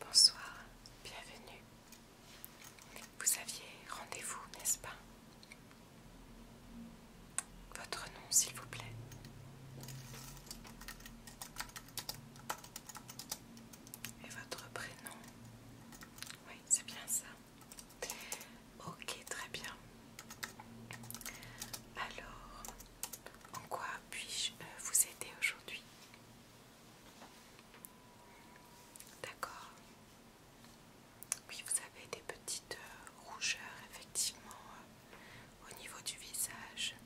Bonsoir, bienvenue. Vous aviez rendez-vous, n'est-ce pas Votre nom, s'il vous plaît. Et votre prénom. Oui, c'est bien ça. Ok, très bien. Alors, en quoi puis-je euh, vous aider aujourd'hui D'accord. Oui, vous avez des petites euh, rougeurs, effectivement, euh, au niveau du visage.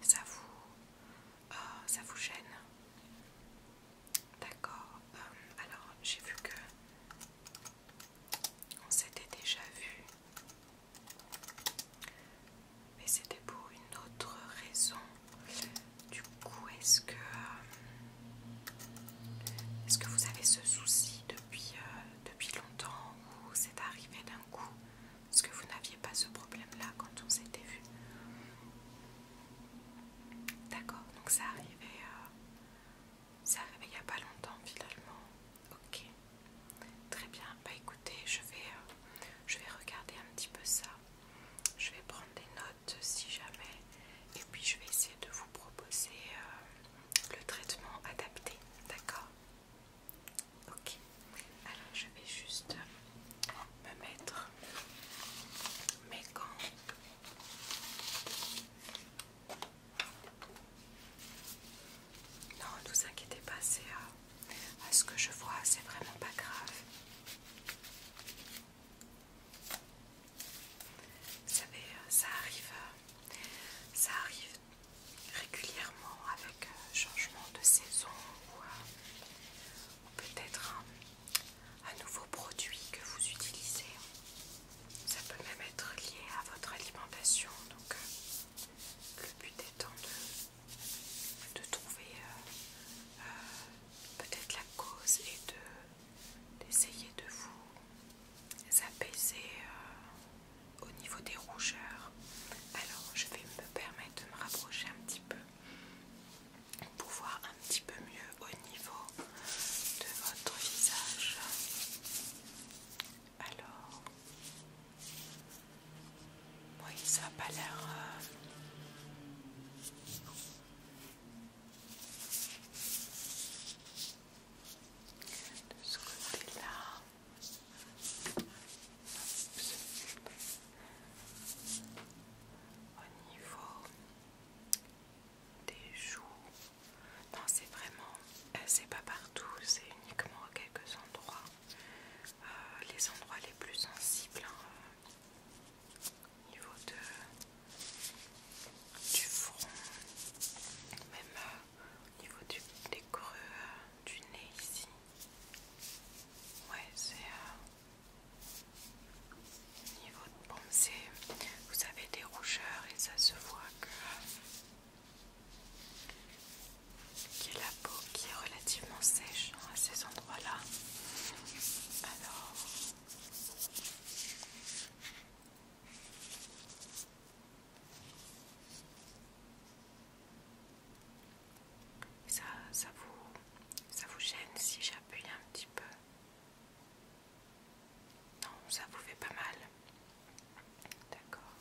Ça vous, ça vous gêne D'accord. Euh, alors, j'ai vu que on s'était déjà vu, mais c'était pour une autre raison. Du coup, est-ce que euh, est-ce que vous avez ce souci depuis euh, longtemps ou c'est arrivé d'un coup Est-ce que vous n'aviez pas ce problème-là quand on s'était vu D'accord. Donc, ça arrivait. Ça a pas longtemps finalement. Ok. Très bien. Bah écoutez, je vais, euh, je vais regarder un petit peu ça. Je vais prendre des notes si jamais. Et puis je vais essayer de vous proposer euh, le traitement adapté. D'accord Ok. Alors je vais juste me mettre mes gants. Non, ne vous inquiétez pas, c'est euh, à, ce que je vois, c'est vraiment pas grave. Vous savez, euh, ça arrive, euh, ça arrive régulièrement avec changement de saison ou, peut-être un, un nouveau produit que vous utilisez. Ça peut même être lié à votre alimentation. Donc euh, le but étant de, trouver euh, euh, peut-être la cause et d'essayer de, vous apaiser au niveau des rougeurs. Alors je vais me permettre de me rapprocher un petit peu pour voir un petit peu mieux au niveau de votre visage. Alors, oui, ça n'a pas l'air. Euh, de ce côté-là. Au niveau des joues. Non, c'est vraiment, euh, c'est pas partout, c'est uniquement à quelques endroits. Euh, les endroits les plus sensibles, hein, au niveau de, du front, même euh, au niveau du, des creux du nez ici. Ouais, c'est. Niveau de pensée, vous avez des rougeurs et ça se voit que la peau qui est relativement sèche à ces endroits-là. Alors, ça, vous, ça vous gêne si j'appuie un petit peu. Non, ça vous fait pas mal. D'accord.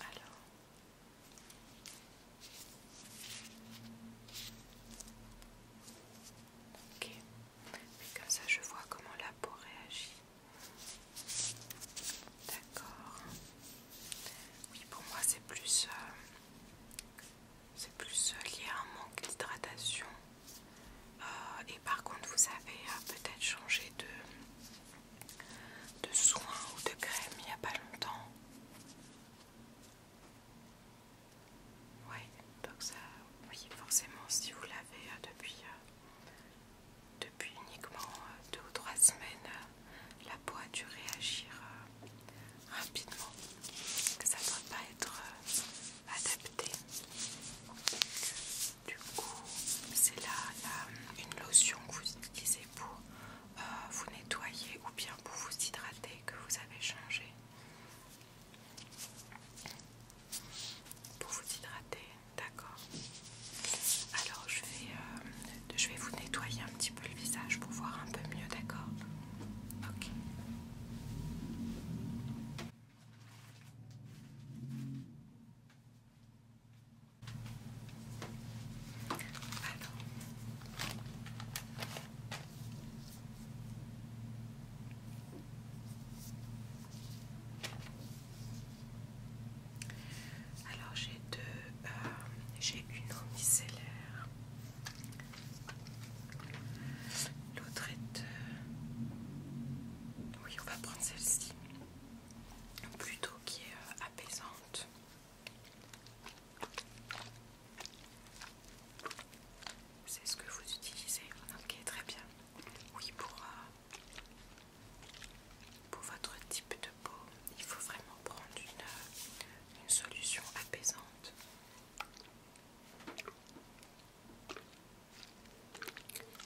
Alors. Ok. comme ça, je vois comment la peau réagit. D'accord. Oui, pour moi, c'est plus... Euh, c'est plus euh, lié à un manque d'hydratation. Euh, et par contre, vous avez euh, peut-être changé de, de soins ou de crème il n'y a pas longtemps. Oui, donc ça, oui, forcément, si vous l'avez depuis, depuis uniquement deux ou trois semaines, la peau a dû réagir rapidement, que ça ne doit pas être euh, adapté. Du coup, c'est là, une lotion que vous utilisez pour euh, vous nettoyer ou bien pour vous hydrater que vous avez changé. Pour vous hydrater, d'accord. Alors je vais, euh, je vais vous nettoyer un petit peu le visage pour voir un peu mieux, d'accord Ok. Alors. j'ai deux, euh, j'ai une eau L'autre est... Euh, oui, on va prendre celle-ci. Plutôt qui est euh, apaisante. C'est ce que vous utilisez. Ok, très bien. Oui, pour, euh, pour votre type de peau, il faut vraiment prendre une solution apaisante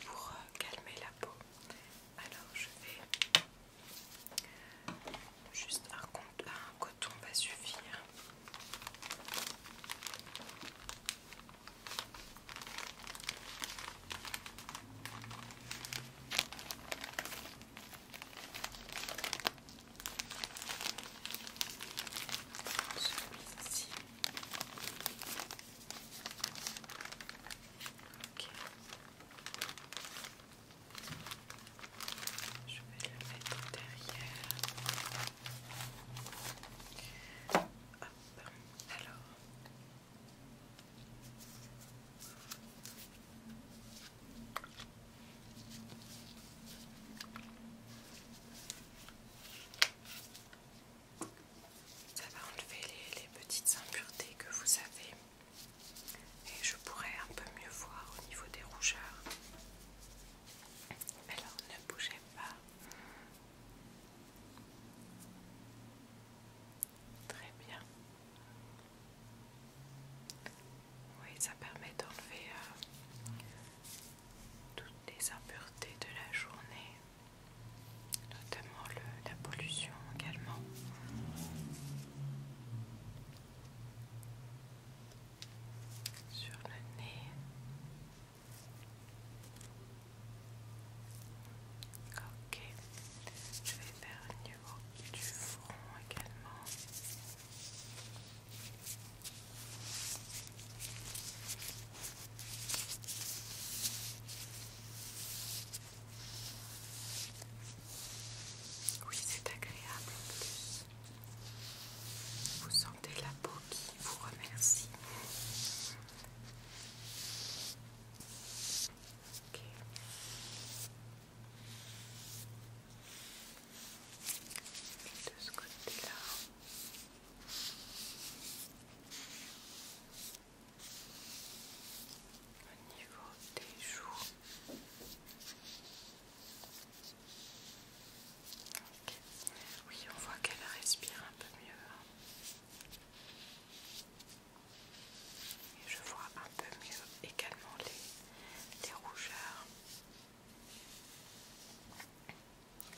pour euh, calmer la peau. Alors je vais juste un, un coton va suffire. Je vais le mettre derrière. Alors. Ça va enlever les, petites impuretés que vous avez et je pourrais un peu mieux voir au niveau des rougeurs. Alors ne bougez pas. Très bien. Oui, ça permet d'enlever euh, toutes les impuretés de la journée, notamment la pollution également. Sur le nez, ok, je vais faire niveau du front également. Oui, c'est agréable en plus. Vous sentez la peau qui vous remercie de ce côté-là. Au niveau des joues. Oui, on voit qu'elle respire un peu mieux. Hein. Et je vois un peu mieux également les des rougeurs.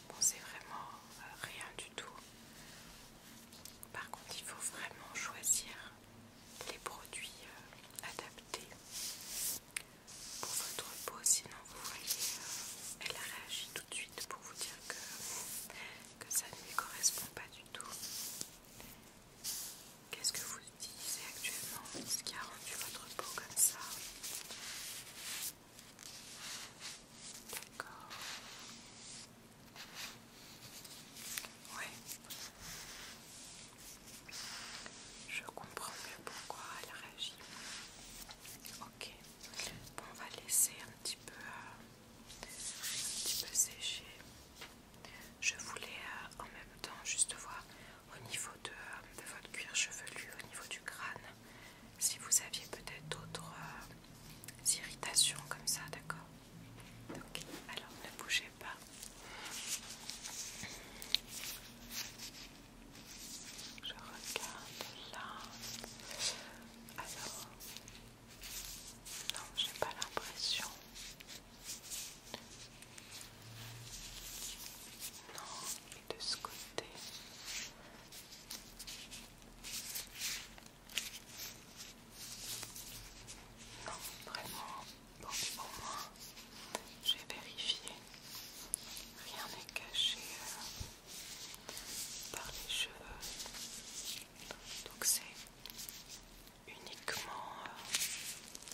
Bon, c'est vraiment euh, rien du tout. Par contre, il faut vraiment choisir les produits euh, adaptés pour votre peau, sinon vous voyez, euh, elle réagit tout de suite pour vous dire que, que ça ne lui correspond pas du tout. Qu'est-ce que vous utilisez actuellement Ce qui a rendu votre peau comme ça D'accord. Ouais. Je comprends mieux pourquoi elle réagit. Ok. Bon, on va laisser un petit peu, euh, un petit peu sécher. Je voulais euh, en même temps juste voir au niveau de, votre cuir chevelu, au niveau du crâne, si vous aviez peut-être d'autres euh, irritations comme ça, d'accord Ok, alors ne bougez pas. Je regarde là. Alors, non, j'ai pas l'impression. Non, et de ce côté. Non, vraiment, Donc au moins, j'ai vérifié. Rien n'est caché euh, par les cheveux. Donc c'est uniquement euh,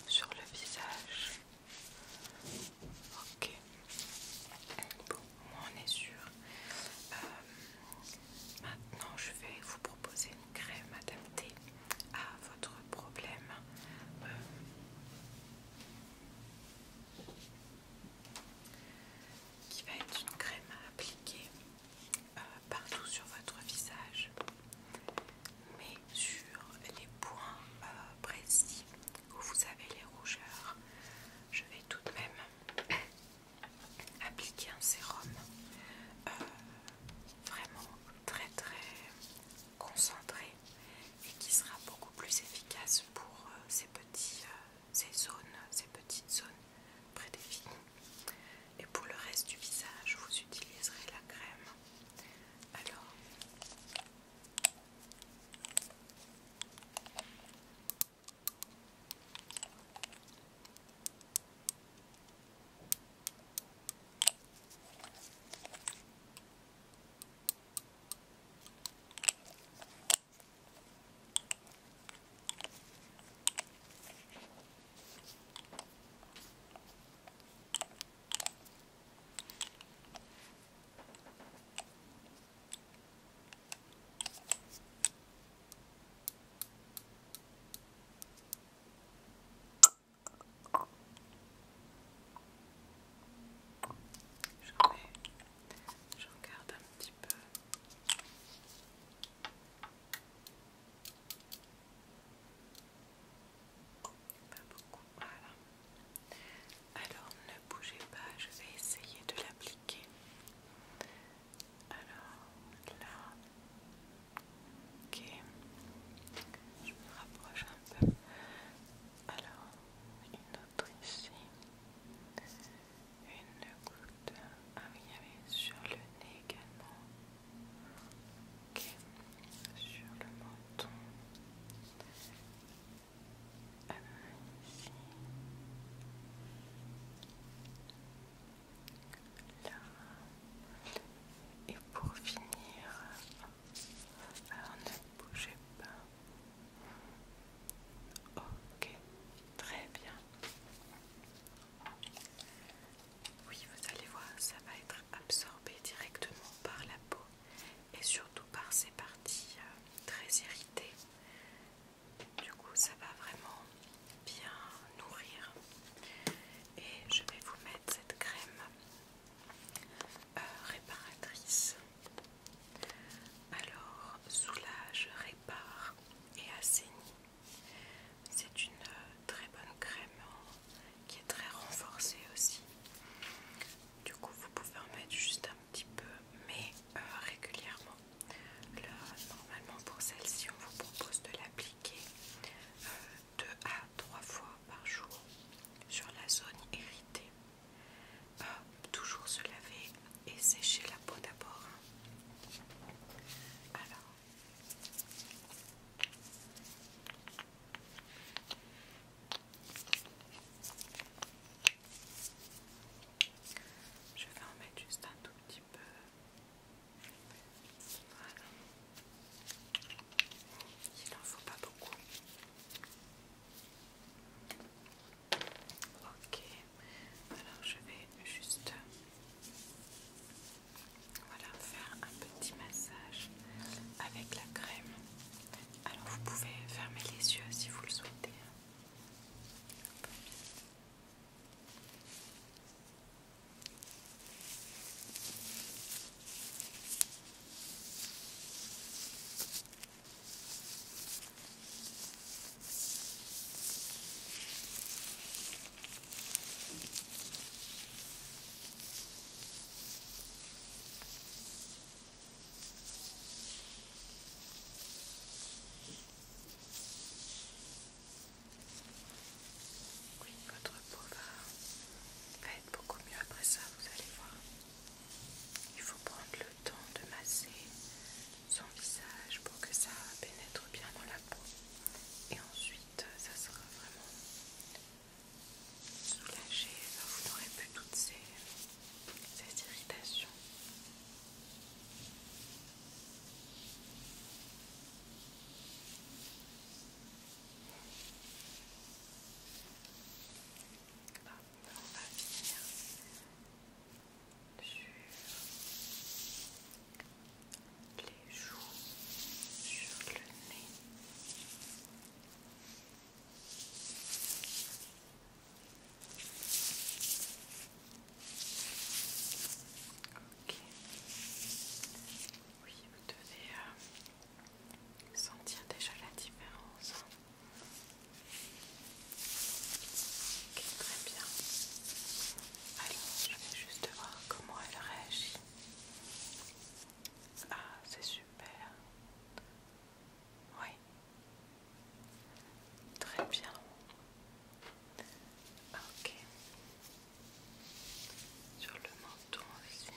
sur le visage. Ok. Bon, moi on est sûr. Euh, maintenant, je vais vous proposer une crème adaptée à votre problème. Euh, qui va être une crème à appliquer euh, partout sur votre visage, mais sur les points euh, précis où vous avez les rougeurs, je vais tout de même appliquer un sérum euh, vraiment très très concentré et qui sera beaucoup plus efficace pour ces petits ces zones, ces petites zones prédéfinies. Et pour le reste du visage, vous utiliserez la crème. Alors, je regarde un petit peu beaucoup, Alors ne bougez pas, je vais essayer de l'appliquer. Alors là, ok, je me rapproche un peu. Alors, une autre ici, une ah oui, il sur le nez également. Sur le menton. ici. Et pour finir, alors ne bougez pas. Ok, très bien. Oui, vous allez voir, ça va être absorbé directement par la peau et surtout par ces parties euh, très irritées. Du coup, ça va vraiment bien nourrir. Et je vais vous mettre cette crème euh, réparatrice. Alors, soulage, répare et assainit c'est une euh, très bonne crème hein, qui est très renforcée aussi. Du coup, vous pouvez en mettre juste un petit peu, mais euh, régulièrement. normalement, pour celle-ci, on vous propose de l'appliquer 2 euh, à 3 fois par jour sur la zone irritée. toujours se laver et sécher la peau d'abord. Hein. Alors, je vais en mettre juste un tout petit peu. Il n'en faut pas beaucoup. Ok. Alors je vais juste faire un petit massage avec la crème. Alors vous pouvez fermer les yeux si vous le souhaitez. Oui, votre peau va, être beaucoup mieux après ça, vous allez voir. Il faut prendre le temps de masser son visage pour que ça pénètre bien dans la et ensuite euh, ça sera vraiment soulagé, vous n'aurez plus toutes ces, irritations. on va finir sur les joues, sur le nez. Ok. Oui, vous devez euh, sentir déjà la différence. Ok, très bien. Allez, je vais juste voir comment elle réagit. Ah, c'est super. Oui. Très bien. Ok. Sur le menton aussi.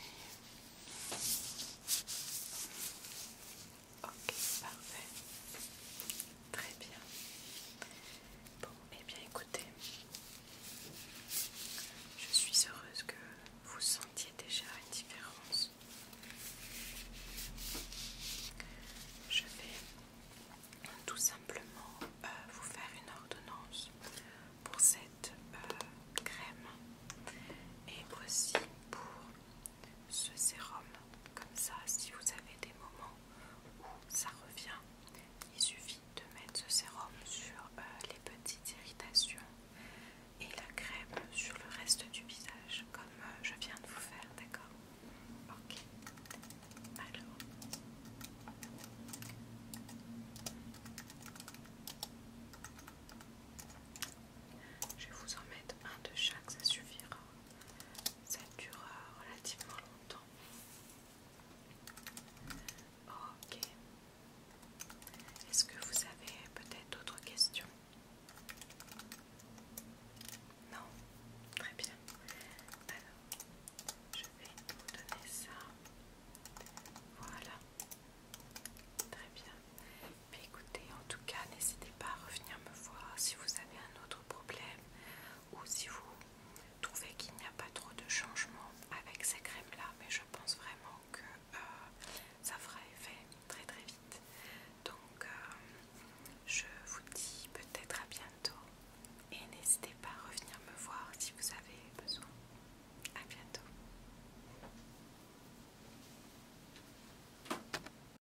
Ok, parfait. Très bien. Bon, et eh bien écoutez, je suis heureuse que vous sentiez déjà une différence. Je vais tout simplement euh, vous faire une ordonnance pour cette euh, crème et aussi pour ce sérum. Comme ça, si vous avez des moments où ça revient, il suffit de mettre ce sérum sur euh, les petites irritations et la crème sur le reste du visage, comme euh, je viens de vous faire, d'accord Ok. Alors. Je vais vous en mettre un de chaque, ça suffira ça dure relativement longtemps. Ok. Est-ce que vous avez peut-être d'autres questions Non Très bien. Alors, je vais vous donner ça. Voilà. Très bien. écoutez, en tout cas, n'hésitez pas à revenir me voir si vous avez un autre problème ou si vous trouvez qu'il n'y a pas trop de changement avec ces crèmes là mais je pense vraiment que euh, ça fera effet très très vite donc euh, je vous dis peut-être à bientôt et n'hésitez pas à revenir me voir si vous avez besoin à bientôt